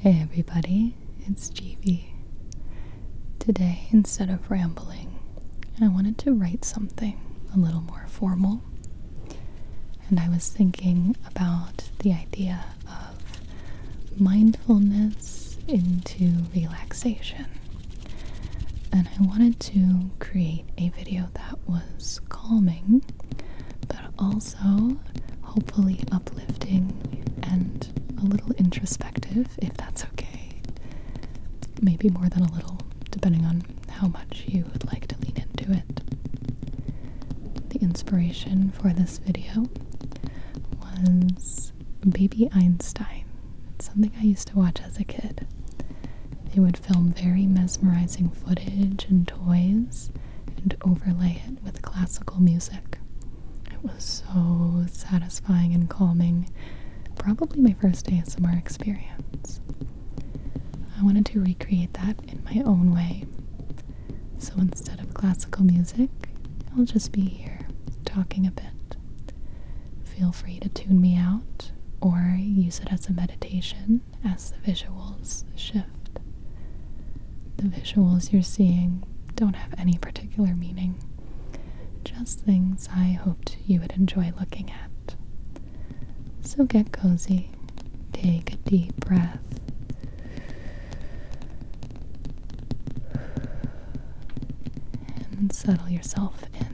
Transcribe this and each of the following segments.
Hey everybody, it's GV. Today, instead of rambling, I wanted to write something a little more formal. And I was thinking about the idea of mindfulness into relaxation. And I wanted to create a video that was calming but also so hopefully uplifting and a little introspective, if that's okay. Maybe more than a little, depending on how much you would like to lean into it. The inspiration for this video was Baby Einstein. something I used to watch as a kid. They would film very mesmerizing footage and toys and overlay it with classical music. It was so satisfying and calming. Probably my first ASMR experience. I wanted to recreate that in my own way. So instead of classical music, I'll just be here talking a bit. Feel free to tune me out or use it as a meditation as the visuals shift. The visuals you're seeing don't have any particular meaning, just things I hoped you would enjoy looking at. So get cozy, take a deep breath. And settle yourself in.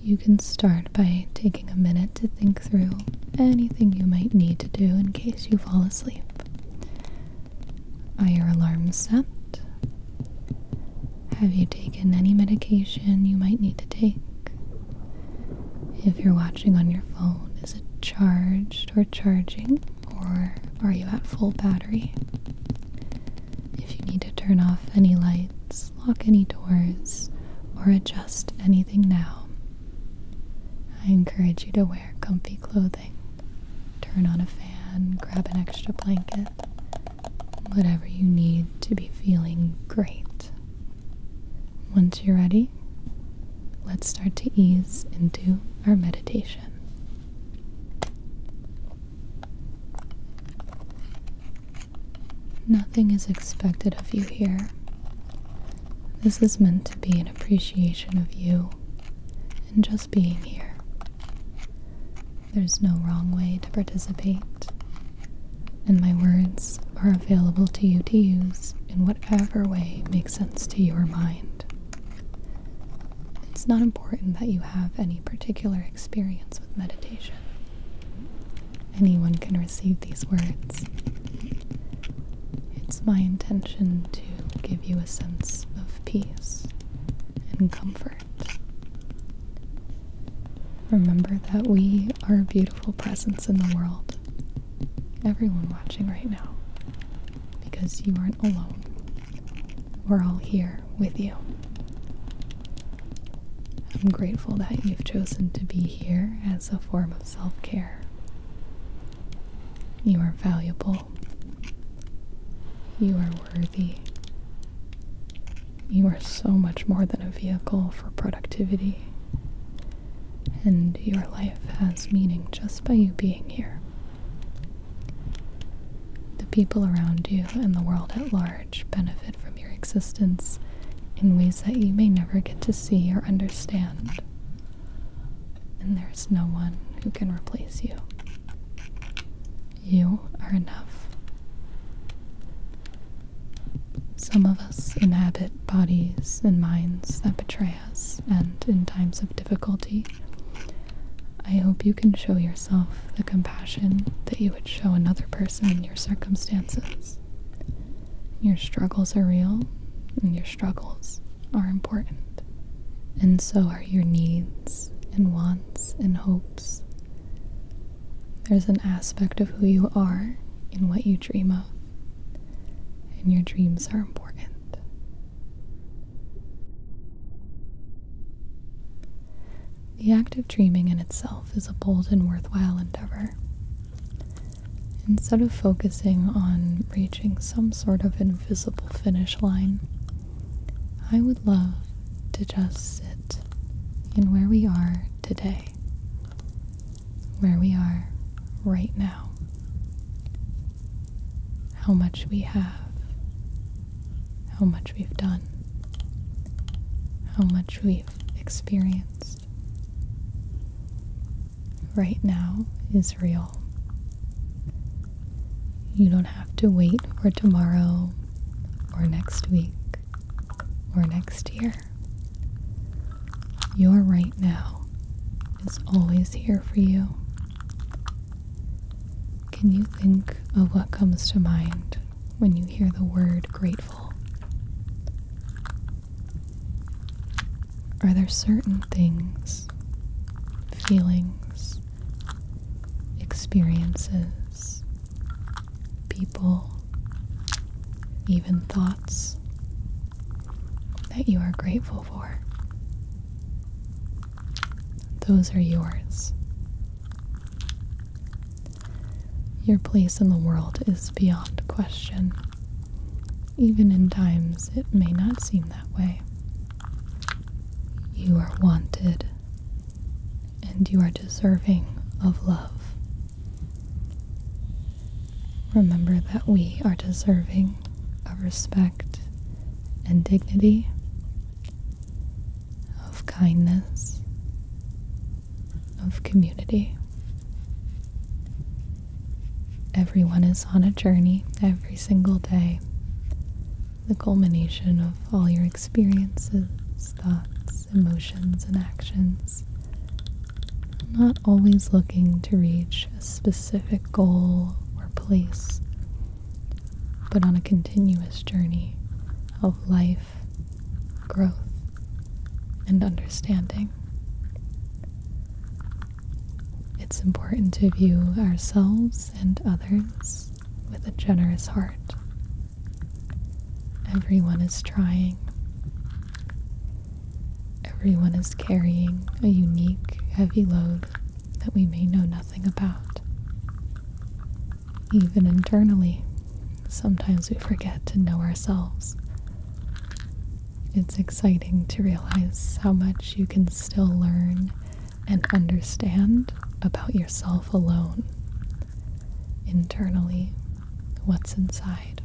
You can start by taking a minute to think through anything you might need to do in case you fall asleep. Are your alarms set? Have you taken any medication you might need to take? If you're watching on your phone, is it charged or charging, or are you at full battery? If you need to turn off any lights, lock any doors, or adjust anything now. I encourage you to wear comfy clothing, turn on a fan, grab an extra blanket, whatever you need to be feeling great. Once you're ready, let's start to ease into our meditation. Nothing is expected of you here. This is meant to be an appreciation of you and just being here. There's no wrong way to participate, and my words are available to you to use in whatever way makes sense to your mind. It's not important that you have any particular experience with meditation. Anyone can receive these words. It's my intention to give you a sense of peace and comfort. Remember that we are a beautiful presence in the world. Everyone watching right now. Because you aren't alone. We're all here with you. I'm grateful that you've chosen to be here as a form of self care. You are valuable. You are worthy. You are so much more than a vehicle for productivity. And your life has meaning just by you being here. The people around you and the world at large benefit from your existence in ways that you may never get to see or understand. And there's no one who can replace you. You are enough. Some of us inhabit bodies and minds that betray us, and in times of difficulty, I hope you can show yourself the compassion that you would show another person in your circumstances. Your struggles are real, and your struggles are important. And so are your needs and wants and hopes. There's an aspect of who you are in what you dream of, and your dreams are important. The act of dreaming in itself is a bold and worthwhile endeavor. Instead of focusing on reaching some sort of invisible finish line, I would love to just sit in where we are today, where we are right now, how much we have, how much we've done, how much we've experienced. Right now is real. You don't have to wait for tomorrow or next week or next year. Your right now is always here for you. Can you think of what comes to mind when you hear the word grateful? Are there certain things, feelings, experiences, people, even thoughts that you are grateful for? Those are yours. Your place in the world is beyond question. Even in times it may not seem that way. You are wanted, and you are deserving of love. Remember that we are deserving of respect and dignity, of kindness, of community. Everyone is on a journey every single day, the culmination of all your experiences, thoughts, emotions, and actions. Not always looking to reach a specific goal or place, but on a continuous journey of life growth, and understanding. It's important to view ourselves and others with a generous heart. Everyone is trying. Everyone is carrying a unique, heavy load that we may know nothing about, even internally. Sometimes we forget to know ourselves. It's exciting to realize how much you can still learn and understand about yourself alone, internally, what's inside.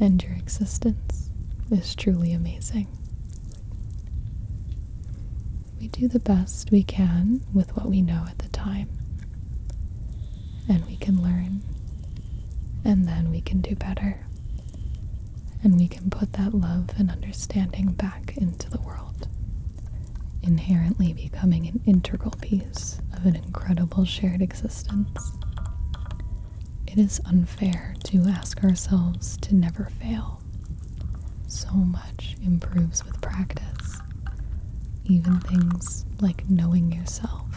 And your existence is truly amazing. We do the best we can with what we know at the time and we can learn, and then we can do better, and we can put that love and understanding back into the world, inherently becoming an integral piece of an incredible shared existence. It is unfair to ask ourselves to never fail. So much improves with practice. Even things like knowing yourself,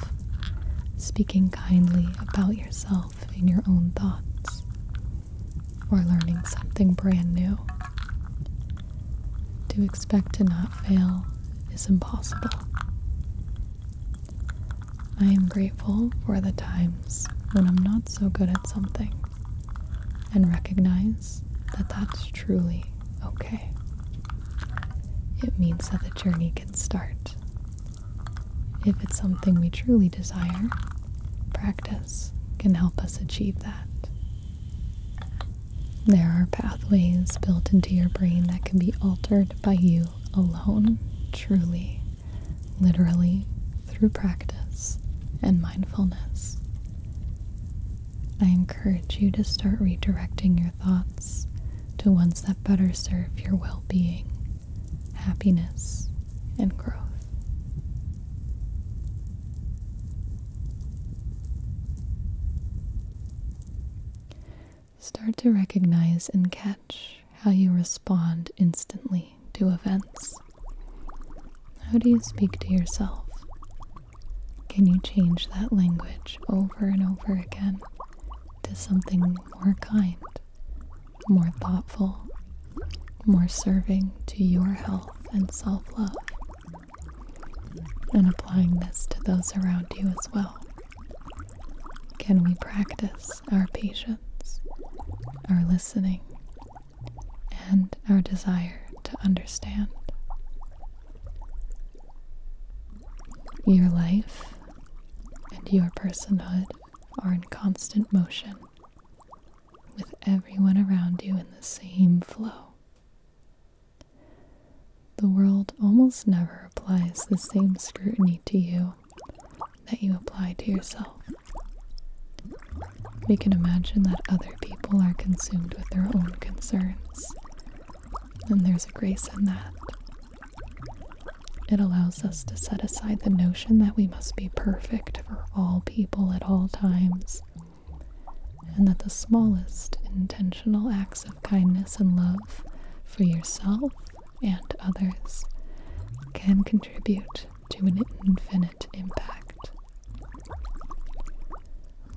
speaking kindly about yourself in your own thoughts, or learning something brand new. To expect to not fail is impossible. I am grateful for the times when I'm not so good at something and recognize that that's truly okay. It means that the journey can start. If it's something we truly desire, practice can help us achieve that. There are pathways built into your brain that can be altered by you alone, truly, literally, through practice and mindfulness. I encourage you to start redirecting your thoughts to ones that better serve your well being, happiness, and growth. Start to recognize and catch how you respond instantly to events. How do you speak to yourself can you change that language over and over again to something more kind, more thoughtful, more serving to your health and self love? And applying this to those around you as well. Can we practice our patience, our listening, and our desire to understand? Your life and your personhood are in constant motion, with everyone around you in the same flow. The world almost never applies the same scrutiny to you that you apply to yourself. We can imagine that other people are consumed with their own concerns and there's a grace in that. It allows us to set aside the notion that we must be perfect for all people at all times, and that the smallest intentional acts of kindness and love for yourself and others can contribute to an infinite impact.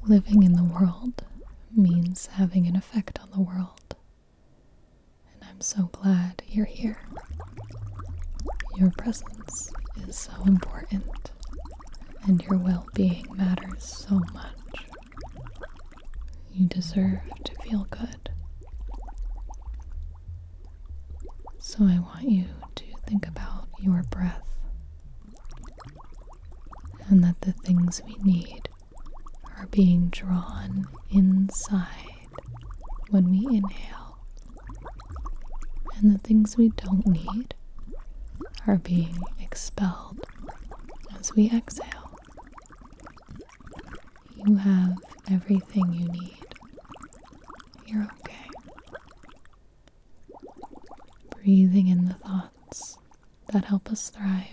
Living in the world means having an effect on the world. And I'm so glad you're here. Your presence is so important, and your well being matters so much. You deserve to feel good. So I want you to think about your breath and that the things we need are being drawn inside when we inhale, and the things we don't need are being expelled as we exhale. You have everything you need. You're okay breathing in the thoughts that help us thrive,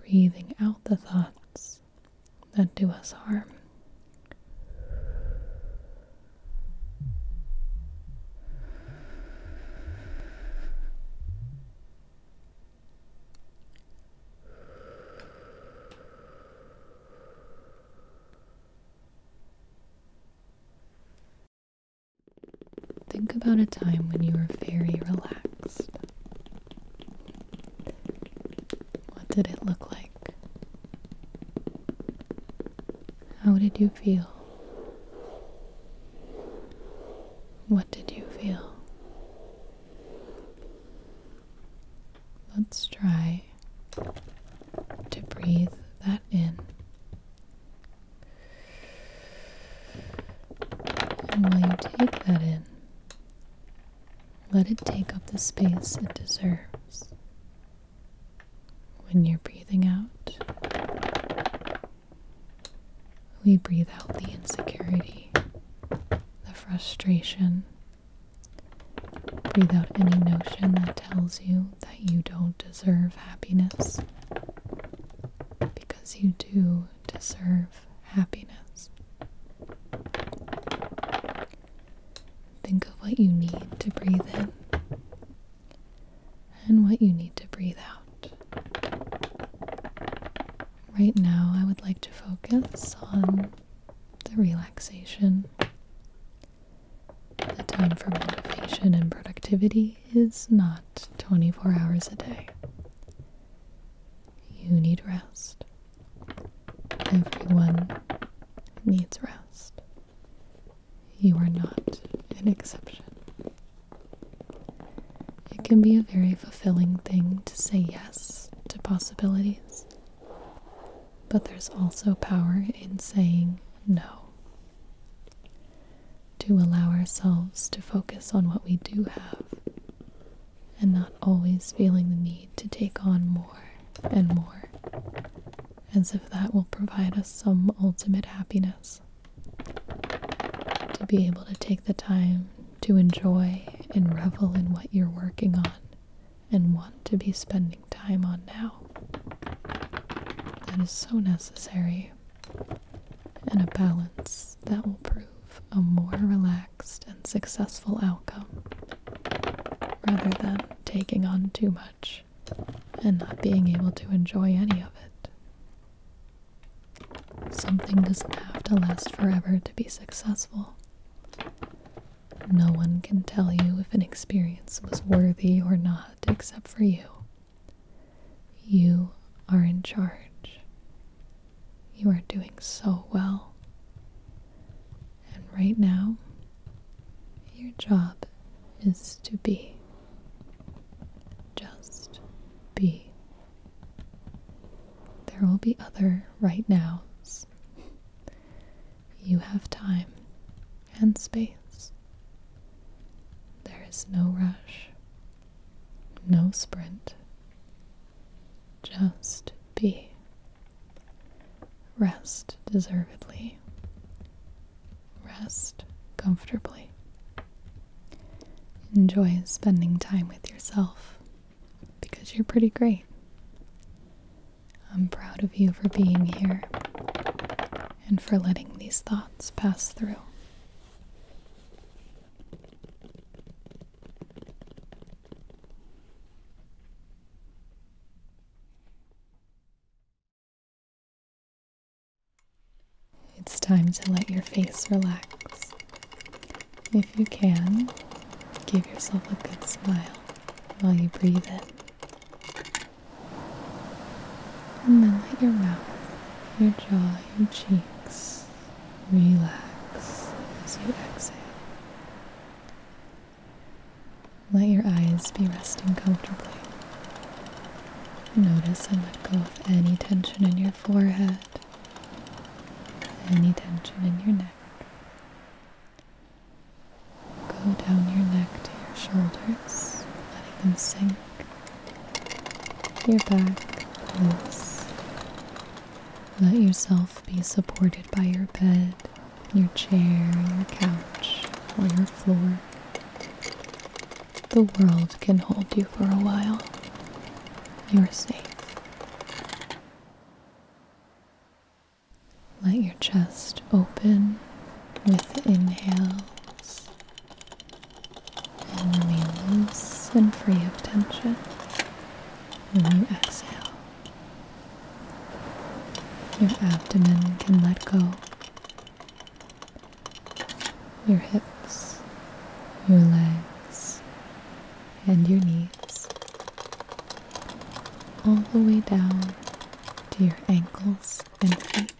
breathing out the thoughts that do us harm. Think about a time when you were very relaxed. What did it look like? How did you feel? What did you feel? Let's try to breathe that in. And while you take that in, let it take up the space it deserves. When you're breathing out, we breathe out the insecurity, the frustration, Breathe out any notion that tells you that you don't deserve happiness because you do deserve happiness. Think of what you need to breathe in and what you need to breathe out. Right now, I would like to focus on the relaxation the time for motivation and productivity is not 24 hours a day. You need rest. Everyone needs rest. You are not an exception. It can be a very fulfilling thing to say yes to possibilities but there's also power in saying no. To allow ourselves to focus on what we do have and not always feeling the need to take on more and more, as if that will provide us some ultimate happiness. To be able to take the time to enjoy and revel in what you're working on and want to be spending time on now. That is so necessary, and a balance that will prove a more relaxed and successful outcome rather than taking on too much and not being able to enjoy any of it. Something doesn't have to last forever to be successful. No one can tell you if an experience was worthy or not except for you. You are in charge. You are doing so well. And right now, your job is to be. Just be. There will be other right nows. You have time and space. There is no rush, no sprint. Just be. Rest deservedly. Rest comfortably. Enjoy spending time with yourself because you're pretty great. I'm proud of you for being here and for letting these thoughts pass through. It's time to let your face relax. If you can, give yourself a good smile while you breathe it. And then let your mouth, your jaw, your cheeks relax as you exhale. Let your eyes be resting comfortably. Notice and let go of any tension in your forehead, any tension in your neck, Go down your neck to your shoulders, letting them sink. Your back loose. Let yourself be supported by your bed, your chair, your couch, or your floor. The world can hold you for a while. You're safe. Let your chest open with inhales and remain loose and free of tension when you exhale. Your abdomen can let go. Your hips, your legs, and your knees all the way down to your ankles and feet,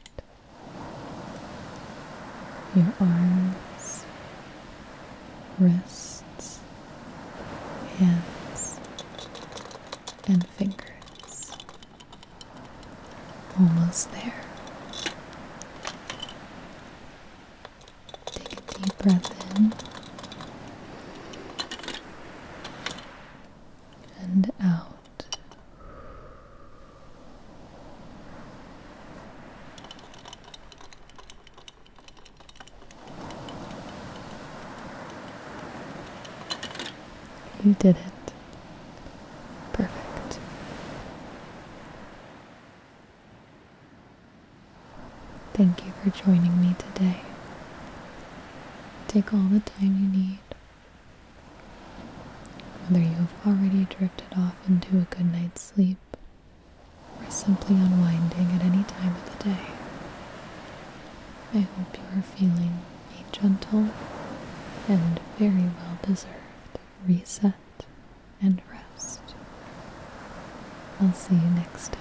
your arms, wrists, hands, and fingers. Almost there. Take a deep breath in and out. You did it. Perfect. Thank you for joining me today. Take all the time you need. Whether you have already drifted off into a good night's sleep or simply unwinding at any time of the day, I hope you are feeling a gentle and very well deserved reset and rest. I'll see you next time.